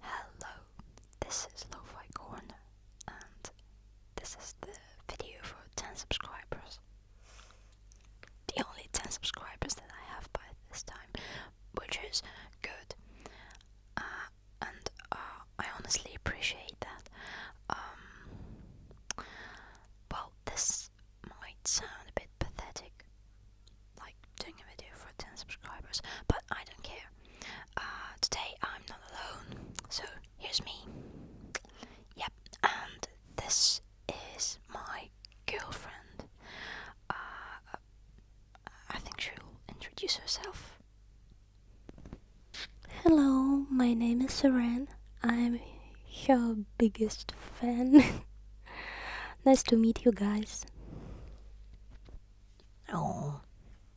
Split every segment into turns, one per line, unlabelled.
Hello, this is Lo-Fi Corner, and this is the video for 10 subscribers. The only 10 subscribers that I have by this time, which is good. Uh, and uh, I honestly appreciate that. Um, well, this might sound a bit pathetic, like doing a video for 10 subscribers, but I don't care. Uh, today I'm not alone, so here's me. Yep, and this is my girlfriend. Uh, I think she'll introduce herself. Hello, my name is Seren. I'm your biggest fan. nice to meet you guys. Oh,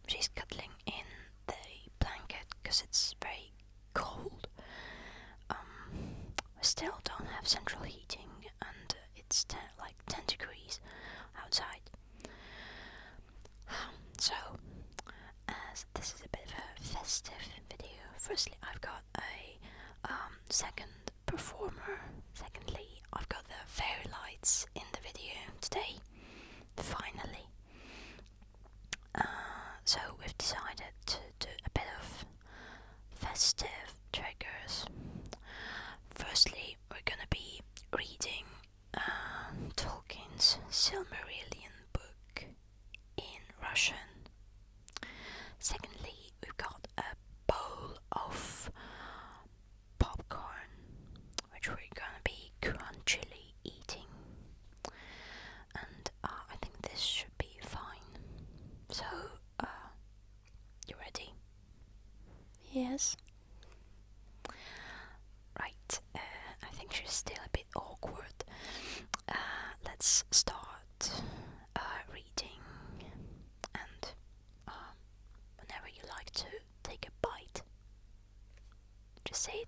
she's cuddling in the blanket because it's very cold. we um, still don't have central heating, and it's like 10 degrees outside. So, as this is a bit of a festive video, firstly, I've got a um, second performer. Secondly, I've got the fairy lights in the video today, finally. Uh, so we've decided to do a bit of festive triggers. Firstly, we're gonna be reading uh, Tolkien's Silmarillion book in Russian. Secondly, we've got a bowl of popcorn, which we're gonna be crunchily eating, and uh, I think this should be fine. So, uh, you ready? Yes. Right. Uh, I think she's still a bit awkward. Uh, let's start uh, reading and um, whenever you like to take a bite. Just say it.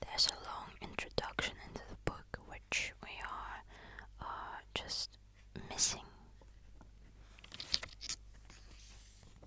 There's a long introduction into the book which we are uh, just missing.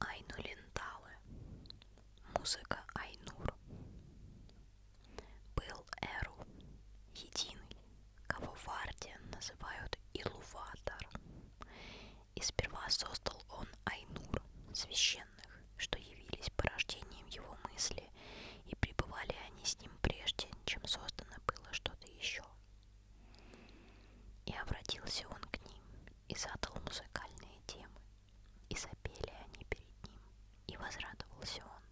Айну Ленталы. Музыка Айнур. Был Эру. Единый, кого в Арде называют Илуватар. И сперва создал он Айнур, священный вселенных, что явились порождением его мысли, и пребывали они с ним прежде, чем создано было что-то еще. И обратился он к ним, и задал музыкальные темы, и запели они перед ним, и возрадовался он.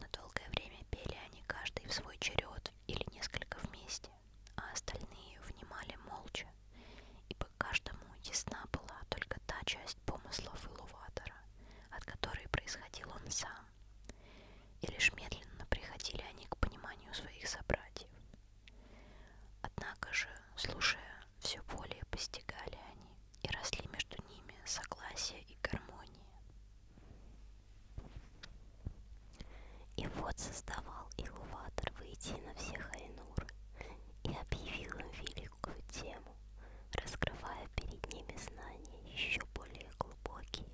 На долгое время пели они каждый в свой черед или несколько вместе, а остальные внимали молча, ибо каждому ясна была только та часть, часть помыслов Илуватора, от которой происходил он сам, и лишь медленно приходили они к пониманию своих собратьев. Однако же, слушая, все более постигали они и росли между ними согласие и гармония. И вот создавал Илуватор выйти на всех Айнур и объявил им великую тему раскрывая перед ними знания еще более глубокие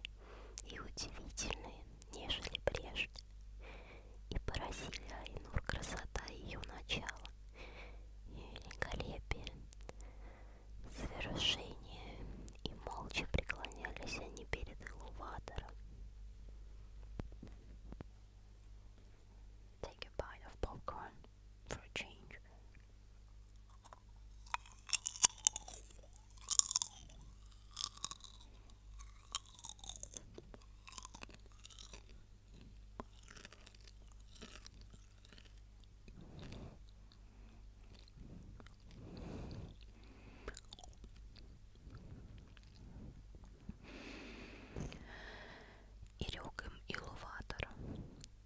и удивительные, нежели прежде. И поразили Айнур красота ее начала, ее великолепие, совершение, и молча преклонялись они перед Илуватором. take a bite of popcorn for a change. И рёк им Илуватор,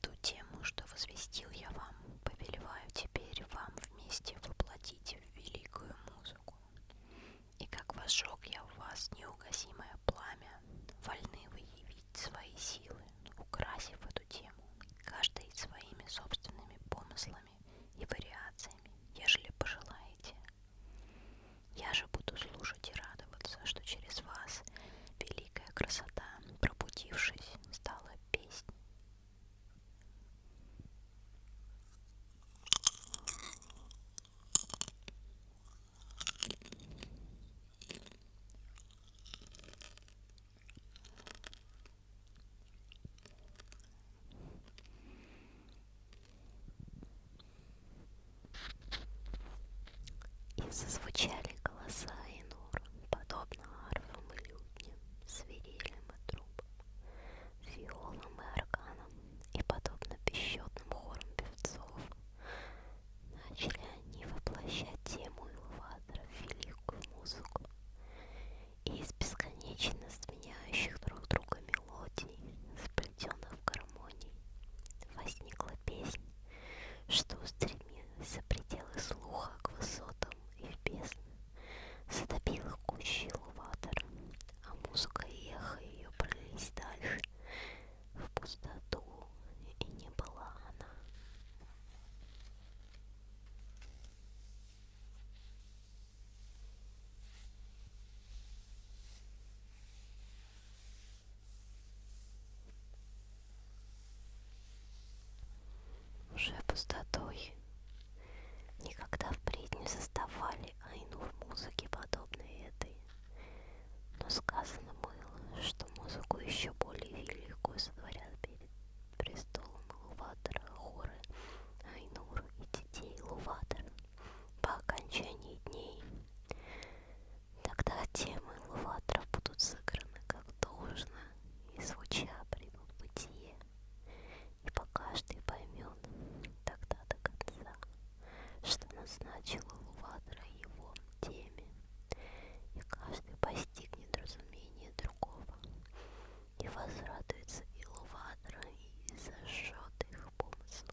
ту тему, что возвестил я вам, повелеваю теперь вам вместе воплотить в великую музыку. И как возжег я в вас неугасимое пламя, вольны вы явить свои силы, украсив эту тему, каждый своими собственными помыслами и вариациями, ежели пожелаете, я же буду слушать и радоваться, что через вас великая красота, пробудившись, стала песней. И зазвучали голоса и нор, подобно арфам и лютням, свирелям и трубам, фиолам и арканам, и подобно бесчетным хорам певцов. Начали они воплощать тему Илватора в великую музыку, и из бесконечно сменяющих друг друга мелодий, сплетенных в гармонии. Возникла песнь, что устремилась за пределы слуха к высотам и в бездны, затопила кущи луватора, а музыка и эхо ее пролились дальше, в пустоту, и не была она. Уже пустотой никогда впредь не создавали айнур музыки подобной этой. Но сказано было, что музыку еще более великую сотворят перед престолом Луватора хоры Айнур и детей Луватора по окончании дней Тогда темы Луватров будут сыграны как должно, и звуча примут бытие, и по каждый поймет тогда до конца, что назначила Луватра его теме, и каждый постигнет разумение другого, и возрадуется и Луватра, и зажжет их помыслы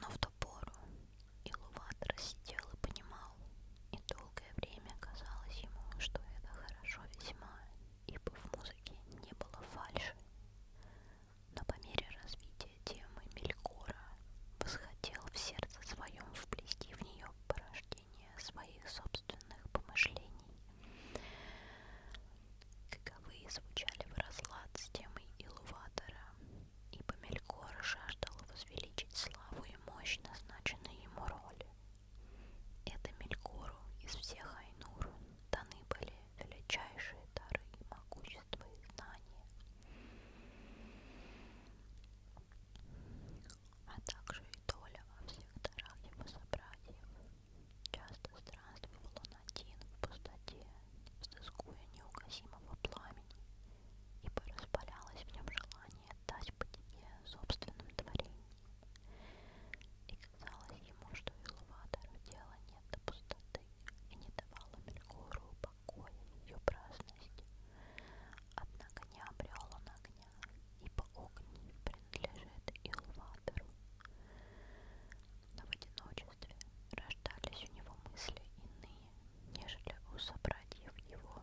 Но в ту пору Илуватор сидел и понимал, и долгое время казалось ему, что это хорошо весьма, ибо в музыке не было фальши. Но по мере развития темы Мелькора восходил в сердце своем вплести в нее порождение чтение своих собственных помышлений. Каковые звучали в разлад с темой Илуватора, ибо Мелькор жаждал возвеличить славу и мощь назначенной ему роли. Это Мелькору из всех Айнур даны были величайшие дары и могущество и знания а также и доля во всех дарах его собратьев. Часто странствовал он один в пустоте, взыскуя неугасимого пламени, ибо распалялось в нем желание дать бытие собственным творениям. И казалось ему, что Илватору дела нет до пустоты, и не давала Мелькору покоя ее праздности. Однако не обрел он огня, ибо огонь принадлежит Илватору. Но в одиночестве рождались у него мысли иные, нежели у собратьев его.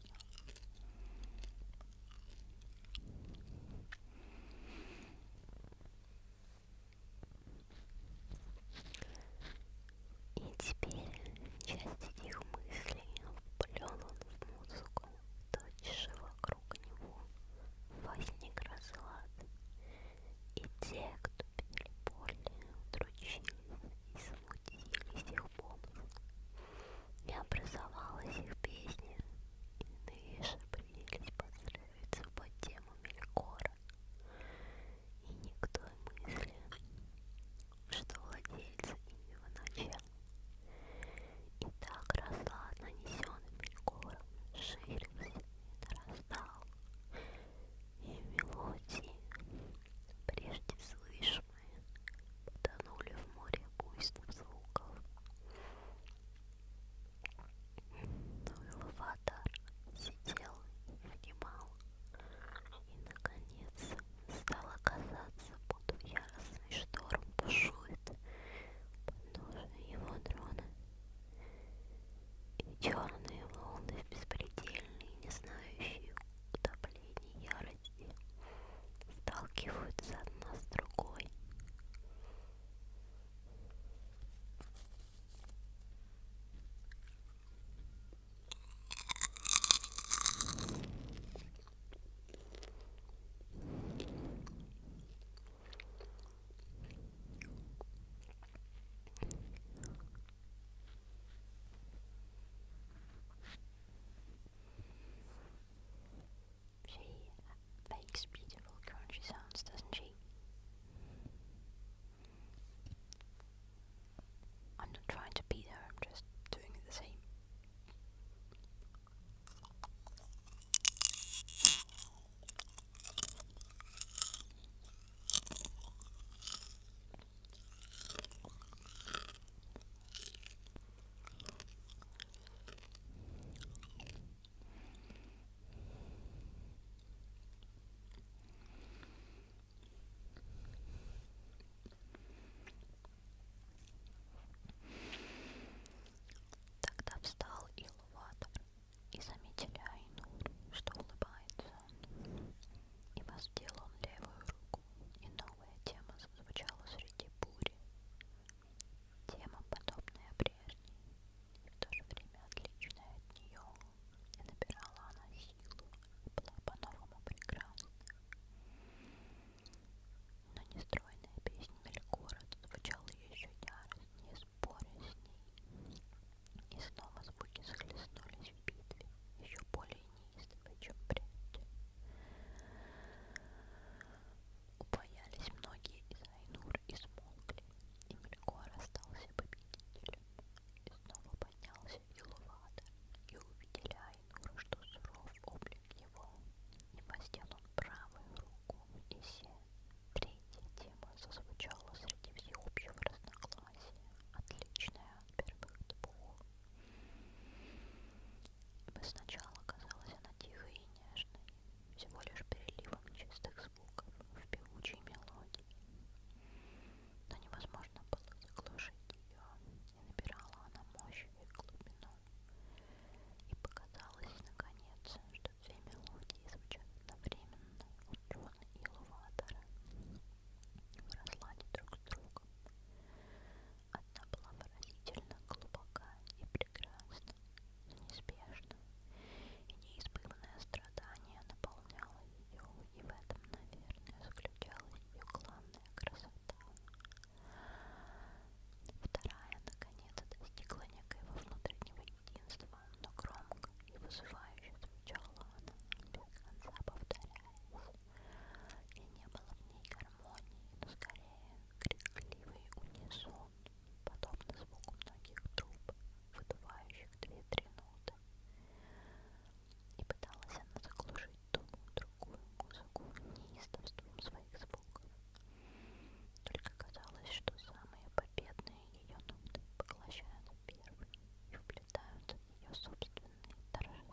И теперь часть этих мыслей вплёнула в музыку, тотчас вокруг него возник разлад. И те, кто пели более, удручились и смутились их помыслом не образовалась их песня, иные же принялись подстраиваться под тему Мелькора. И никто мысли, что владельцы ими вначале. И так росла нанесенным Мелькором, ширился и нарастал. И мелодии прежде слышу мои потонули в море буйных звуков. Но ну аватар сидел и внимал, и, наконец, стало казаться, будто яростный шторм бушует подножие его дрона. И черные волны в беспредельной, не знающие утопления ярости, и сталкиваются одна с другой. She makes beautiful crunchy sounds, doesn't she? I'm not trying to beat her, I'm just doing the same. Тогда встал Илуватор и заметили Айнур, что улыбается, и воздел он левую руку и на Новая тема зазвучала среди бури. Тема, подобная прежней, и в то же время отличная от нее, и набирала она силу, была по-новому прекрасна. Но нестройная песня Мелькора звучала еще яростнее, споря с ней, и снова звуки захлестнулись в битве, еще более если хочу прять. Убоялись многие из Айнур и смолкли, и Мельгор остался победителем. И снова поднялся Илуватор, и увидели Айнур, что суров облик его, и воздел он правую руку, и се. Третья тема зазвучала среди всеобщего разногласия, отличная от первых двух. Сначала казалась она тихой и нежной, всего лишь переливом чистых звуков в певучей мелодии. Но невозможно было заглушить ее, и набирала она мощь и глубину. И показалось, наконец, что две мелодии звучат одновременно у Джона и Луватора в разладе друг с другом кругом. Она была выразительно глубока и прекрасна, неизбежна, и неизбывное страдание наполняло ее, и в этом, наверное, заключалась ее главная красота. Вторая, наконец, достигла некоего внутреннего единства, но громко и вызывающе звучала она, без конца повторяясь и не было в ней гармонии, но скорее крикливый унисон, подобно звуку многих труб, выдувающих две-три ноты. И пыталась она заглушить ту другую музыку неистовством своих звуков. Только казалось, что самые победные ее ноты поглощают первые и вплетают ее собственные торжественные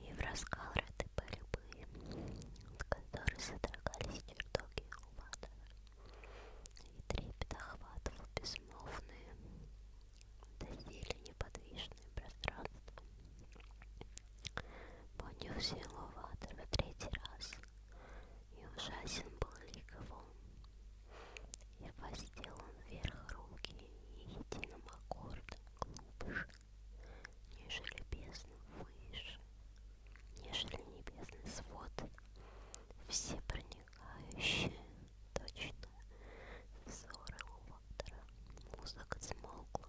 И в раскалраты были бы, от которых содрогались чертоги Улада, и трепет охватывал безмолвные, доселе неподвижное пространство. Поднял силу Ватер в третий раз, и ужасен был лик его. И воздел он вверх руки, и единым аккордом глубже нежели бездна выше, нежели небесный свод, все проникающие точно взоры лотера. Музыка смолкла.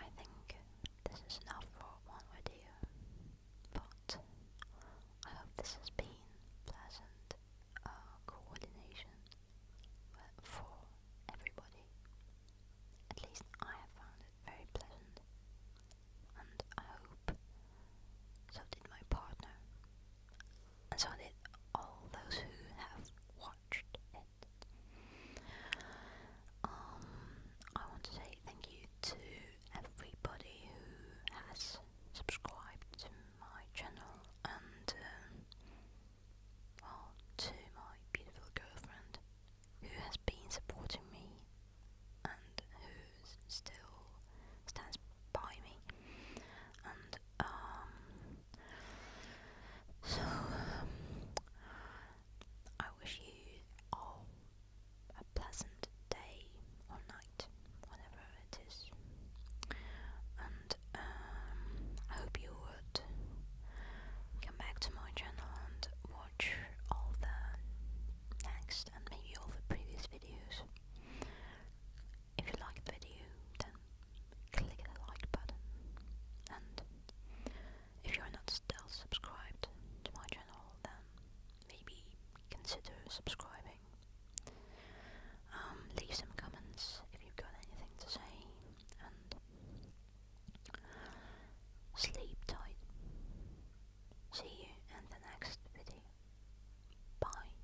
I think this is enough for one video, but I hope this has been pleasant uh, coordination uh, for everybody. At least I have found it very pleasant, and I hope so did my partner, and so did all those who have watched um, I want to say thank you to everybody who has subscribed to my channel and, well, um, oh, to my beautiful girlfriend who has been supporting me and who still stands by me. And, um, so, um, I wish you all a pleasant day or night, whatever it is. And um, I hope you would come back to my channel and watch all the next and maybe all the previous videos. If you like the video, then click the like button. And if you're not still subscribed to my channel, then maybe consider subscribing. Um, leave some comments if you've got anything to say, and sleep tight. See you in the next video. Bye.